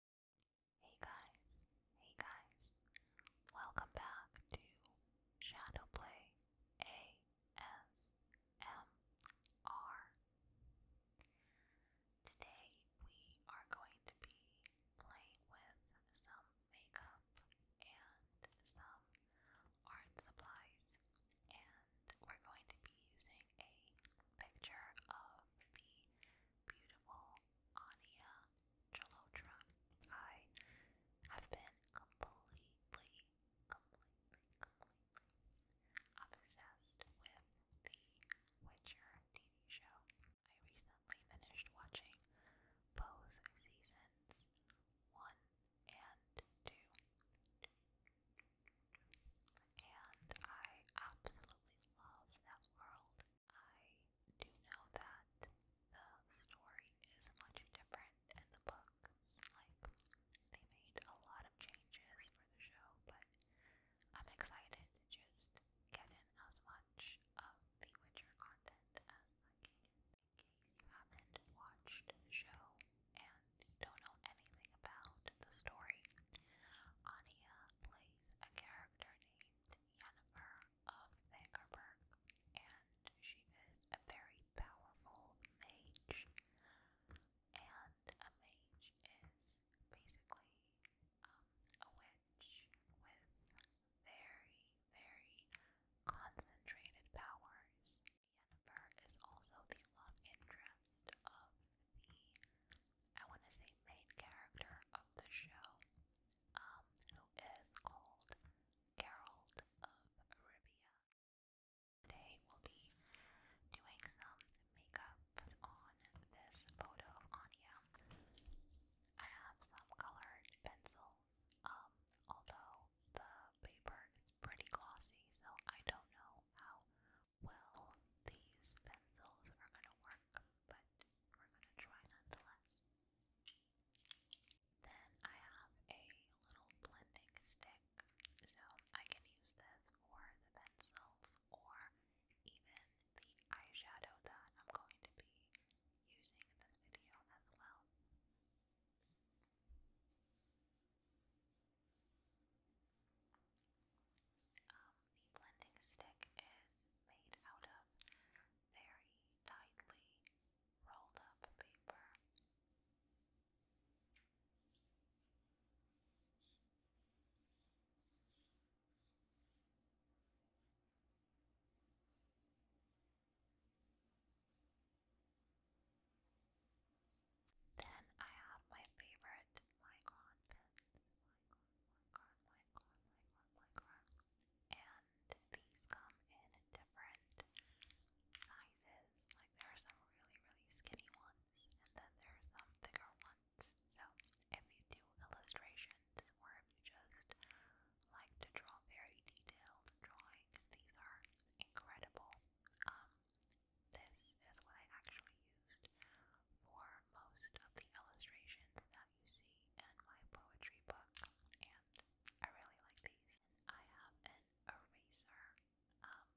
Hey guys, hey guys, welcome back to Shadowplay ASMR. Today we are going to be playing with some makeup and some art supplies, and we're going to be using a picture of the beautiful Ania Jalotra. I have been completely, completely, completely obsessed with The Witcher TV show. I recently finished watching both seasons 1 and 2. And I absolutely love that world. I do know that the story is much different in the book. Like, they made a lot of changes for the show, but I'm excited to just get in as much of the Witcher content as I can. In case you haven't watched the show and you don't know anything about the story, Anya plays a character named named Yennefer of Vangerberg, and she is a very powerful mage. And a mage is basically um, a witch with very, very concentrated powers. Yennefer is also the love interest of the I want to say main character of the show, um, who is called Geralt of Rivia. Today will be doing some makeup on this photo of Anya. I have some colored pencils, um, although the paper is pretty glossy, so I don't know how well these pencils are going to work, but we're gonna try nonetheless. Then I have a little blending stick, so I can use this for the pencils or even the eyeshadow that I'm going to be using in this video as well. Um, the blending stick is made out of very tightly rolled up paper. Then I have my favorite Micron pens my And these come in different sizes. Like there are some really, really skinny ones, and then there are some bigger ones. So if you do illustrations or if you just like to draw very detailed drawings, these are incredible. Um, this is what I actually for most of the illustrations that you see in my poetry book, and I really like these. I have an eraser. Um,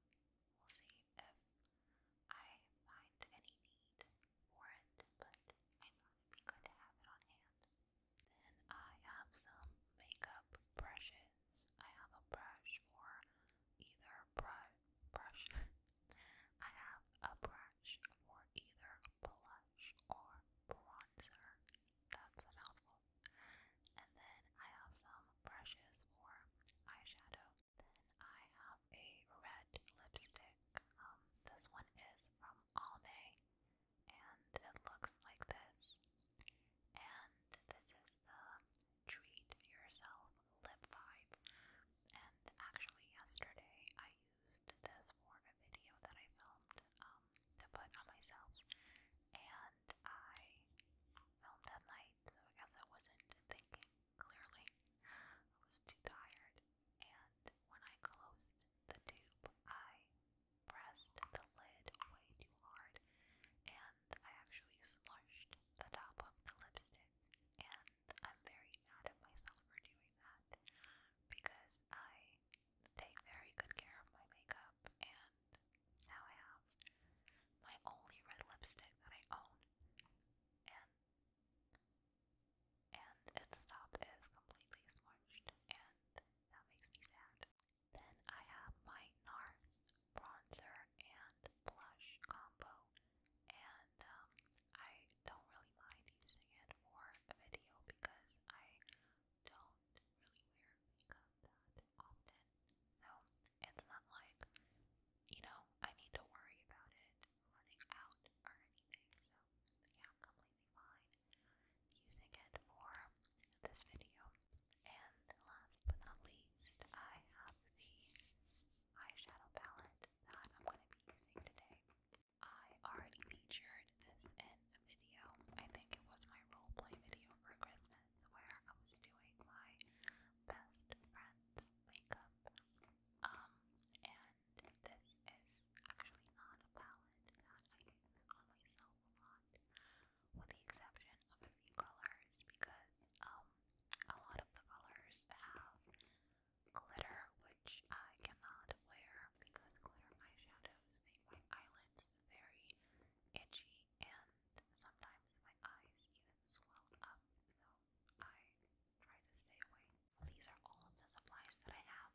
we'll see if I find any need for it, but I thought it'd be good to have it on hand. Then I have some makeup brushes. I have a brush for either brush brush. I have a brush for either blush or bronzer. That's a And then I have some brushes for eyeshadow. Then I have a red lipstick. Um, this one is from Almay, and it looks like this. And this is the treat yourself lip vibe. And actually, yesterday I used this for a video that I filmed um, to put on myself, and I filmed at night, so I guess I wasn't thinking clearly. I was too tired, and when I closed the tube, I pressed the lid way too hard, and I actually smushed the top of the lipstick and I'm very mad at myself for doing that because I take very good care of my makeup and now I have my only red lipstick that I own and and its top is completely smudged and that makes me sad. Then I have my NARS bronzer and blush combo and um, I don't really mind using it for a video because I don't really wear that often. So it's not like, you know, I need to worry about it running out or anything. So yeah, completely fine using it for this video. And last but not least, I have the eyeshadow palette that I'm going to be using today. I already featured this in a video. I think it was my roleplay video for Christmas where I was doing my best friend's makeup. Um, and this is actually not a palette that I use on myself a lot, with the exception of a few colors because um a lot of the colors have glitter, which I cannot wear because glitter eyeshadows make my eyelids very itchy and sometimes my eyes even swell up, so I try to stay away. These are all of the supplies that I have,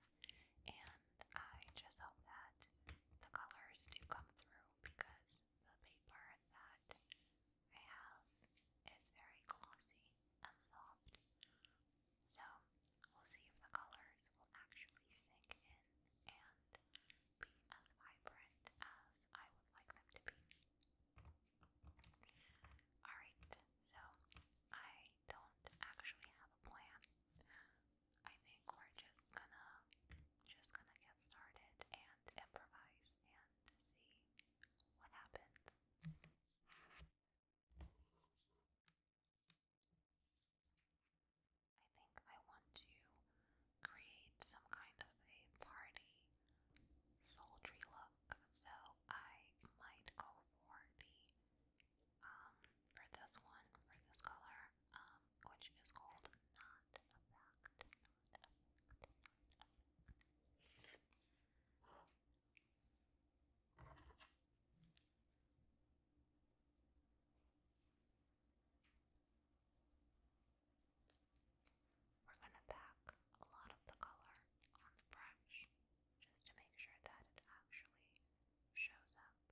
and I just hope that the colors do come through because the paper that I have very glossy and soft. So we'll see if the colors will actually sink in and be as vibrant as I would like them to be. Alright, so I don't actually have a plan. I think we're just gonna just gonna get started and improvise and see what happens. I think I want to create some kind of a party sultry look, so I might go for the um for this one, for this color, um, which is called Not Effect. We're going to pack a lot of the color on the brush just to make sure that it actually shows up.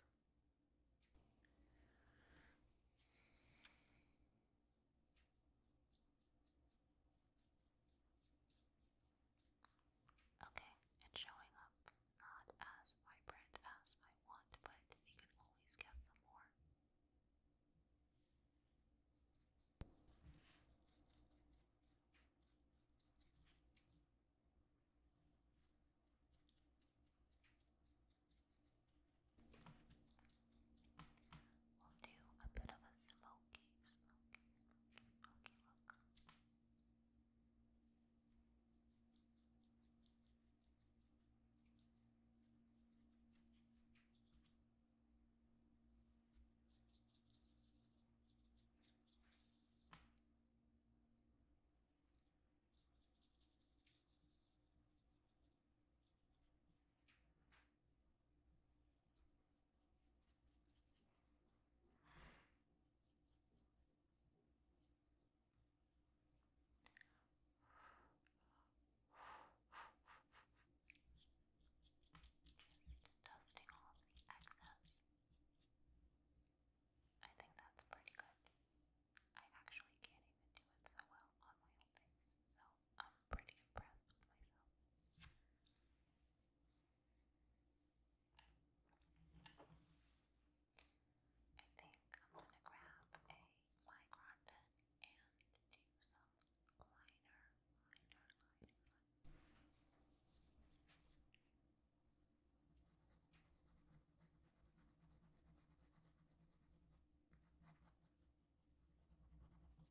Okay, it's showing up not as vibrant as I want, but we can always get some more. We'll do a bit of a smoky smoky, smoky, smoky, smoky look. Just dusting off the excess. I think that's pretty good. I actually can't even do it so well on my own face, so I'm pretty impressed with myself. I think I'm going to grab a micron pen and do some liner, liner, liner. liner.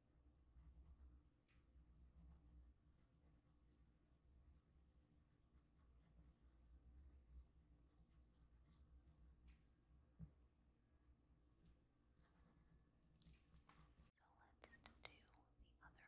So let's do the other eye as well. Okay.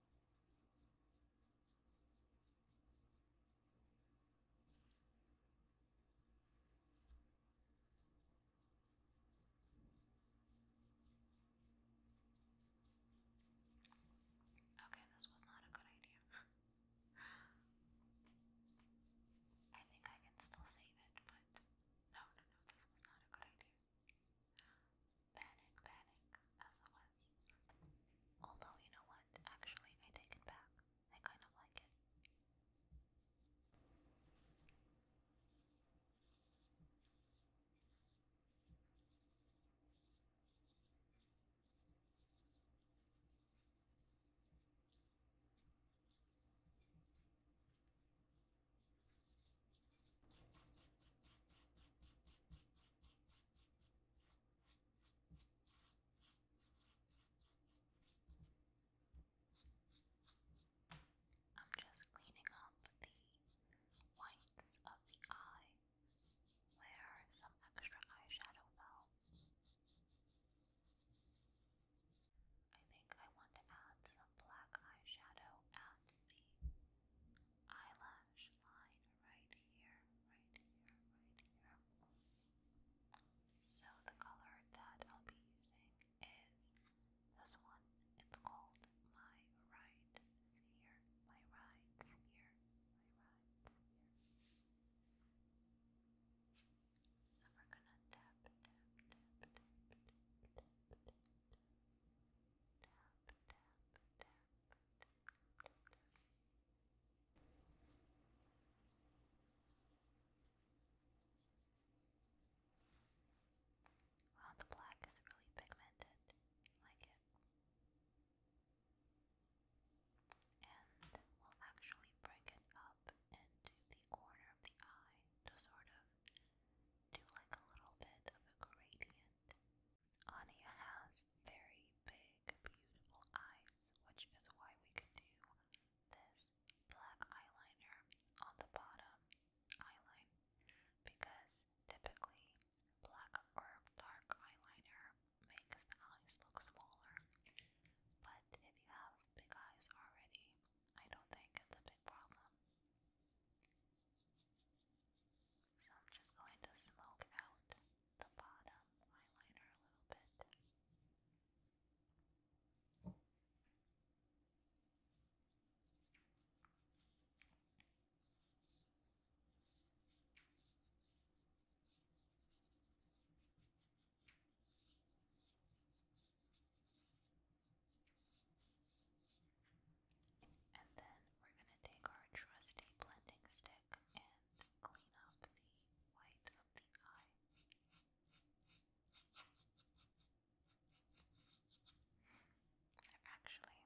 Okay, this was not a good idea. I think I can still save it, but no, no, no, this was not a good idea. Panic, panic, SOS. Although, you know what? Actually, I take it back. I kind of like it. I'm just cleaning up the whites of the eye where some extra eyeshadow fell. I think I want to add some black eyeshadow at the eyelash line right here, right here, right here. So the color that I'll be using is this one. It's called My Right Sear. My Right Sear. My Right Sear. So we're gonna tap, tap, tap, tap, tap, tap, tap, tap, tap, the black is really pigmented. like it. And we'll actually bring it up into the corner of the eye to sort of do like a little bit of a gradient. Anya has very big, beautiful eyes, which is why we can do this black eyeliner on the bottom eyeline because typically black or dark eyeliner makes the eyes look smaller. But if you have big eyes already, I don't think it's a big problem. So I'm just going to smoke out the bottom eyeliner a little bit. And then we're going to take our trusty blending stick and clean up the white of the eye. Actually,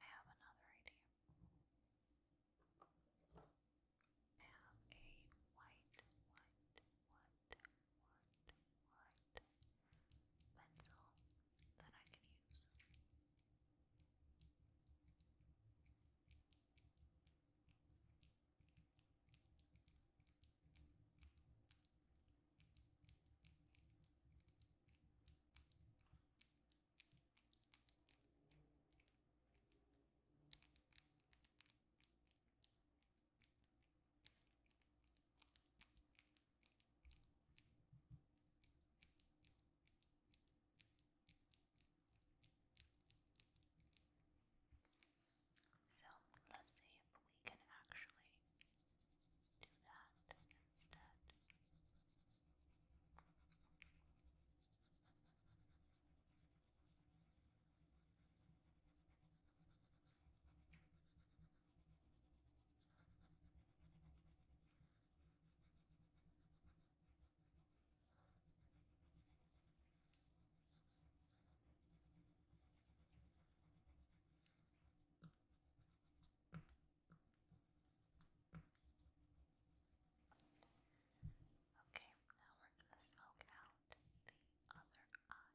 I have another idea. I have a white, white, white, white, white pencil that I can use. So let's see if we can actually do that instead. Okay, now we're going to smoke out the other eye, the other eye.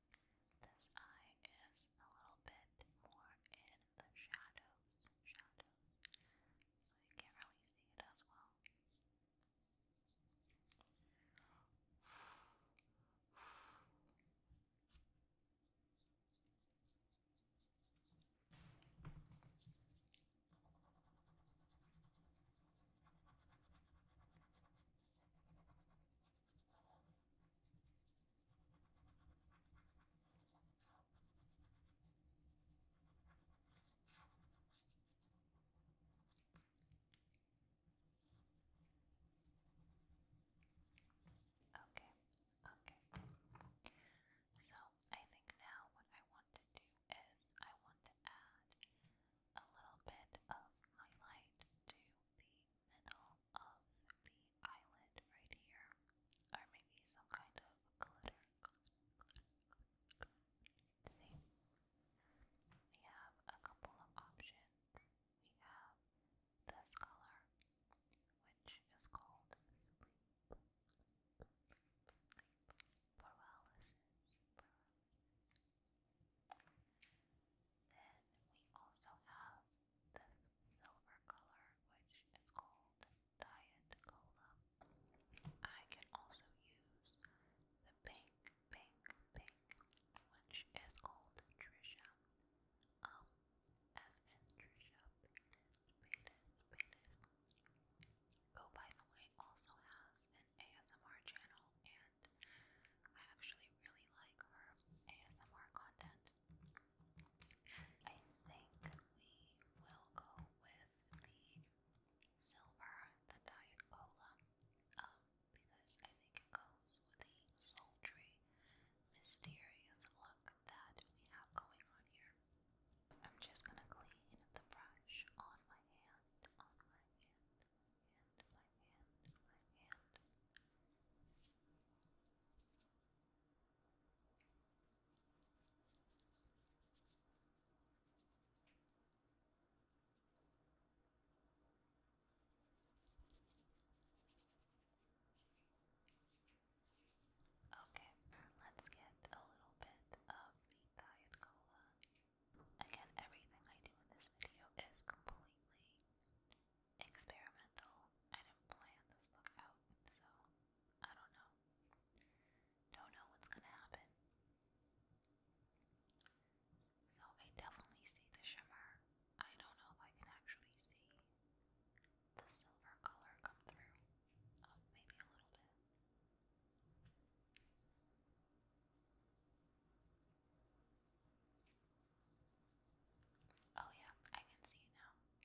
This eye is a little bit more in the shadows, shadows, so you can't really see it as well. Okay, okay. So I think now what I want to do is I want to add a little bit of highlight to the middle of the eyelid right here, or maybe some kind of glitter. we have a couple of options. We have this color, which is called paralysis. Then we also have this silver color, which is called Diet Cola. I can also use the pink, pink, pink, which is called Trisha. Um, as Trisha Oh, by the way, also has an ASMR channel, and I actually really like her ASMR content. I think we will go with the silver, the diet cola, um, because I think it goes with the sultry, mysterious look that we have going on here. I'm just gonna clean the brush on my hand, on my hand, hand, my hand, my hand. Okay, let's get a little bit of diet cola. Again, everything I do in this video is completely experimental. I didn't plan this look out, so I don't know. Don't know what's gonna happen. So I definitely see the shimmer. I don't know if I can actually see the silver color come through. Oh, maybe a little bit. Oh, yeah, I can see it now. Oh,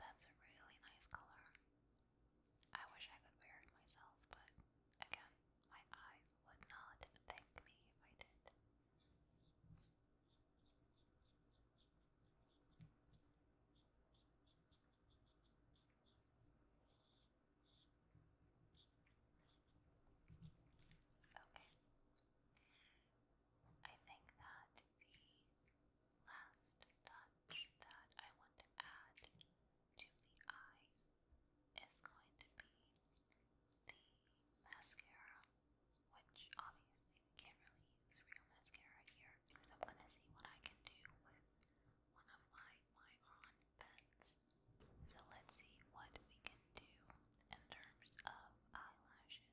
that's a really nice color. I wish I could wear it myself, but again, my eyes would not thank me if I did. Okay. I think that the last touch that I want to add to the eye is going to be the mascara, which obviously we can't really use real mascara here. So I'm gonna see what I can do with one of my Lyron pens. So let's see what we can do in terms of eyelashes.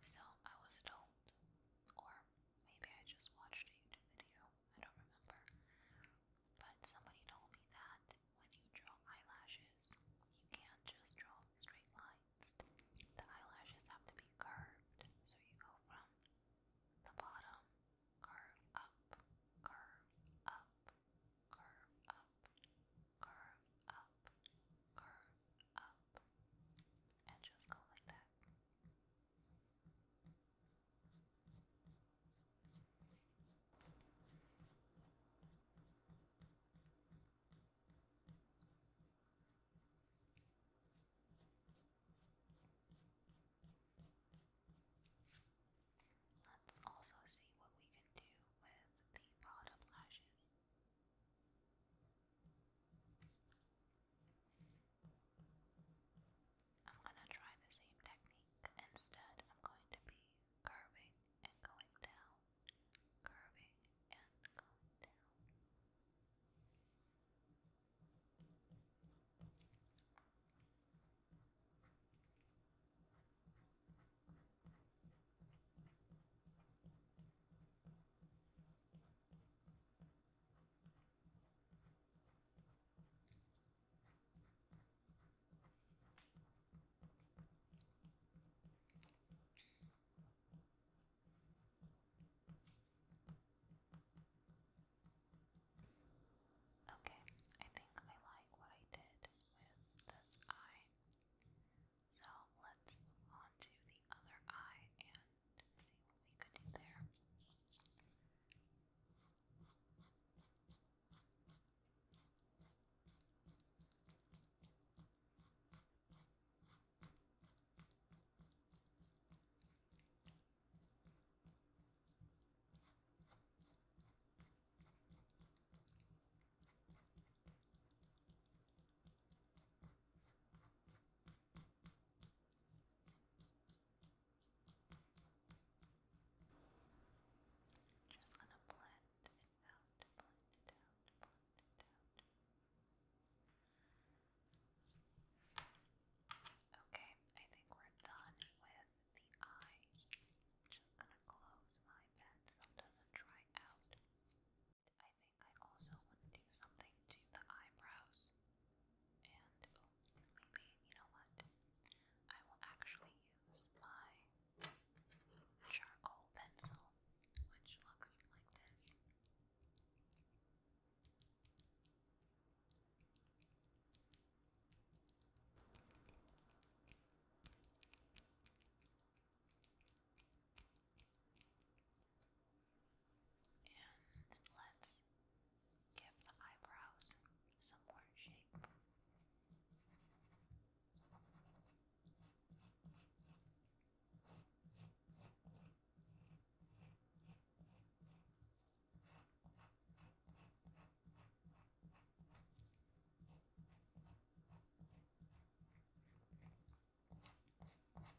So I was told, or maybe I just watched a YouTube video, I don't remember, but somebody told me that when you draw eyelashes, you can't just draw straight lines. The eyelashes have to be curved, so you go from the bottom, curve up, curve up, curve up, curve up, curve up, and just go like that. Let's also see what we can do with the bottom lashes. I'm gonna try the same technique. Instead, I'm going to be curving and going down, curving and going down. Okay, I think I like what I did with this eye. So let's move on to the other eye and see what we could do there. Okay, just gonna blend it out, blend it out, blend it out. Okay, I think we're done with the eyes. just gonna close my pen so it doesn't dry out. I think I also want to do something to the eyebrows. And oh, maybe, you know what? I will actually use my charcoal pencil, which looks like this. And let's give the eyebrows some more shape. And I'm just going to be filling them in a little bit.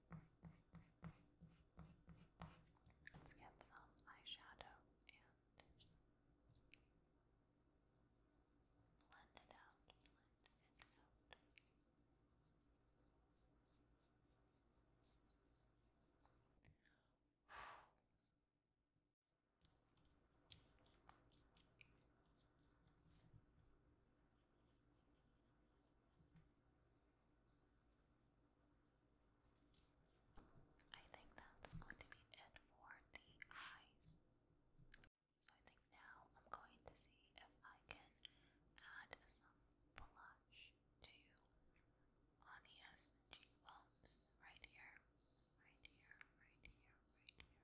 Let's get some eyeshadow and blend it out. I think that's going to be it for the eyes. So I think now I'm going to see if I can add some blush to Anya's cheekbones right here, right here, right here, right here.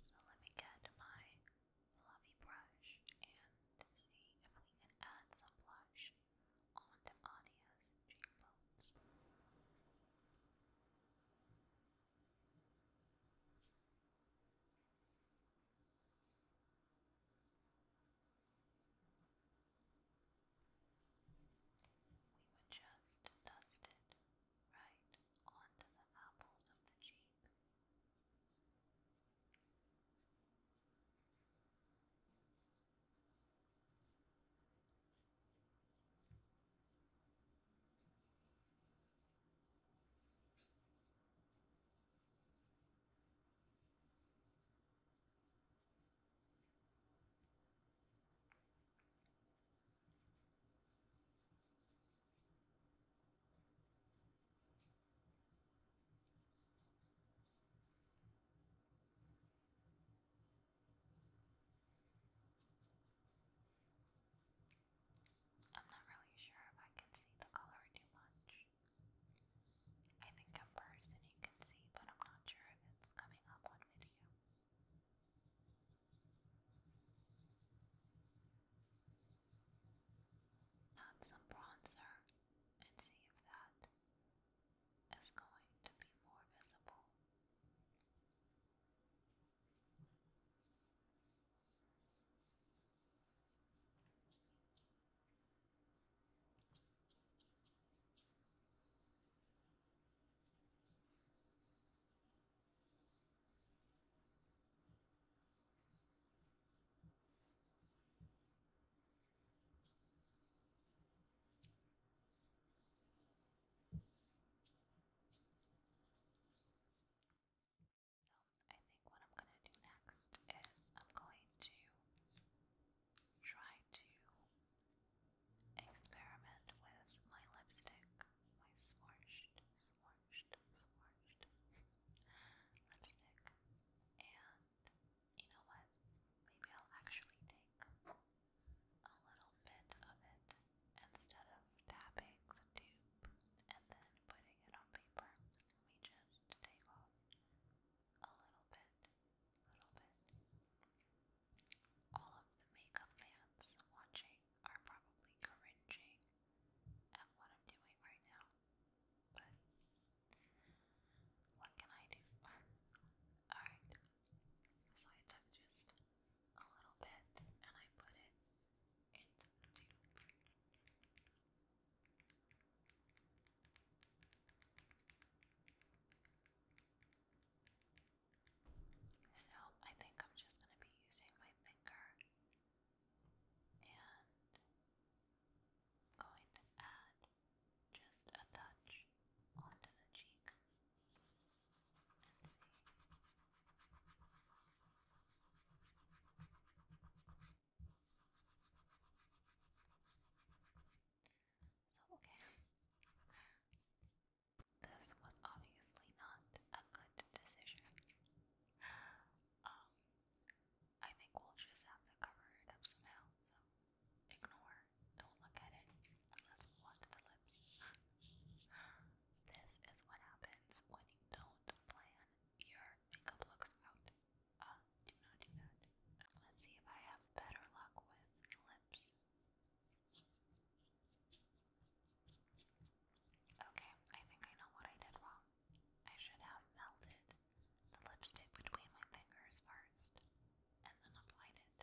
So let me get my fluffy brush and see if we can add some blush onto Adia's cheekbones. We would just dust it right onto the apples of the cheek. I'm not really sure if I can see the color too much. I think in person you can see, but I'm not sure if it's coming up on video. Add some bronzer and see if that is going to be more visible. I think what I'm going to do next is I'm going to try to experiment with my lipstick, my swatched swatched, swatched lipstick. And you know what? Maybe I'll actually take a little bit of it instead of tapping the tube and then putting it on paper. Let just take off a little bit, little bit. All of the makeup fans watching are probably cringing at what I'm doing right now. But what can I do? Alright, so I took just a little bit and I put it into so I think I'm just going to be using my finger and going to add just a touch onto the cheek. So okay. This was obviously not a good decision. Um, I think we'll just have to cover it up somehow, so ignore, don't look at it, let's move on to the lips. this is what happens when you don't plan your makeup looks out. Uh, do not do that. Let's see if I have better luck with lips. Okay, I think I know what I did wrong. I should have melted the lipstick between my fingers first and then applied it.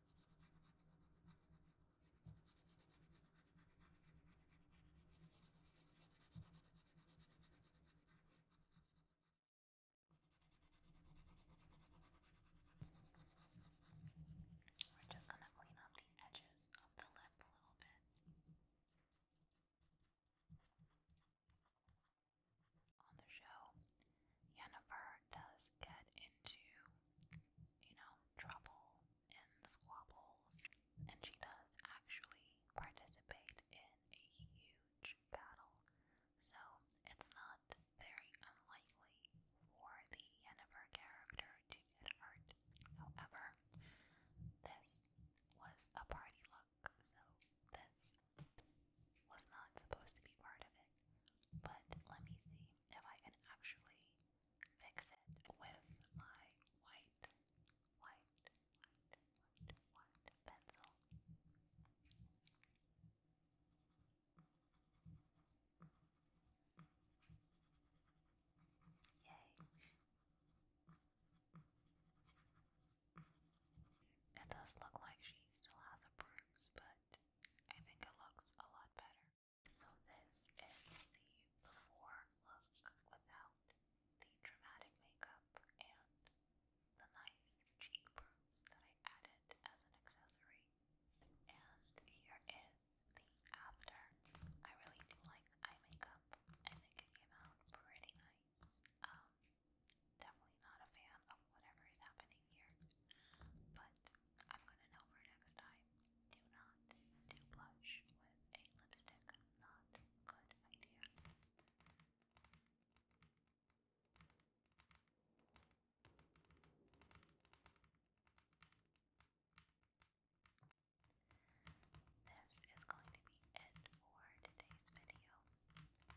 We're just going to clean up the edges of the lip a little bit. On the show, Yennefer does get into, you know, trouble and squabbles, and she does actually participate in a huge battle. So it's not very unlikely for the Yennefer character to get hurt. However, this was a party look, so this was not supposed to be part of it. But let me see if I can actually fix it with my white, white, white, white, white pencil. Yay. It does look like she still has a bruise, but I think it looks a lot better. So this is the before look without the dramatic makeup and the nice cheek bruise that I added as an accessory. And here is the after. I really like eye makeup. I think it came out pretty nice. Um, definitely not a fan of whatever is happening here, but I'm gonna know for next time. Do not do blush with a lipstick. Not good idea. This is going to be it for today's video.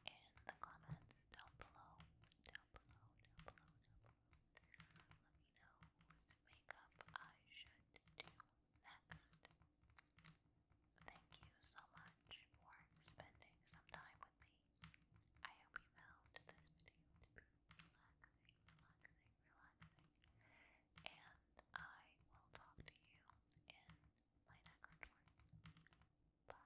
In the comments down below, down below, down below, down let me know what makeup I should do next. Thank you so much for spending some time with me. I hope you found this video relaxing, relaxing, relaxing. And I will talk to you in my next one. Bye.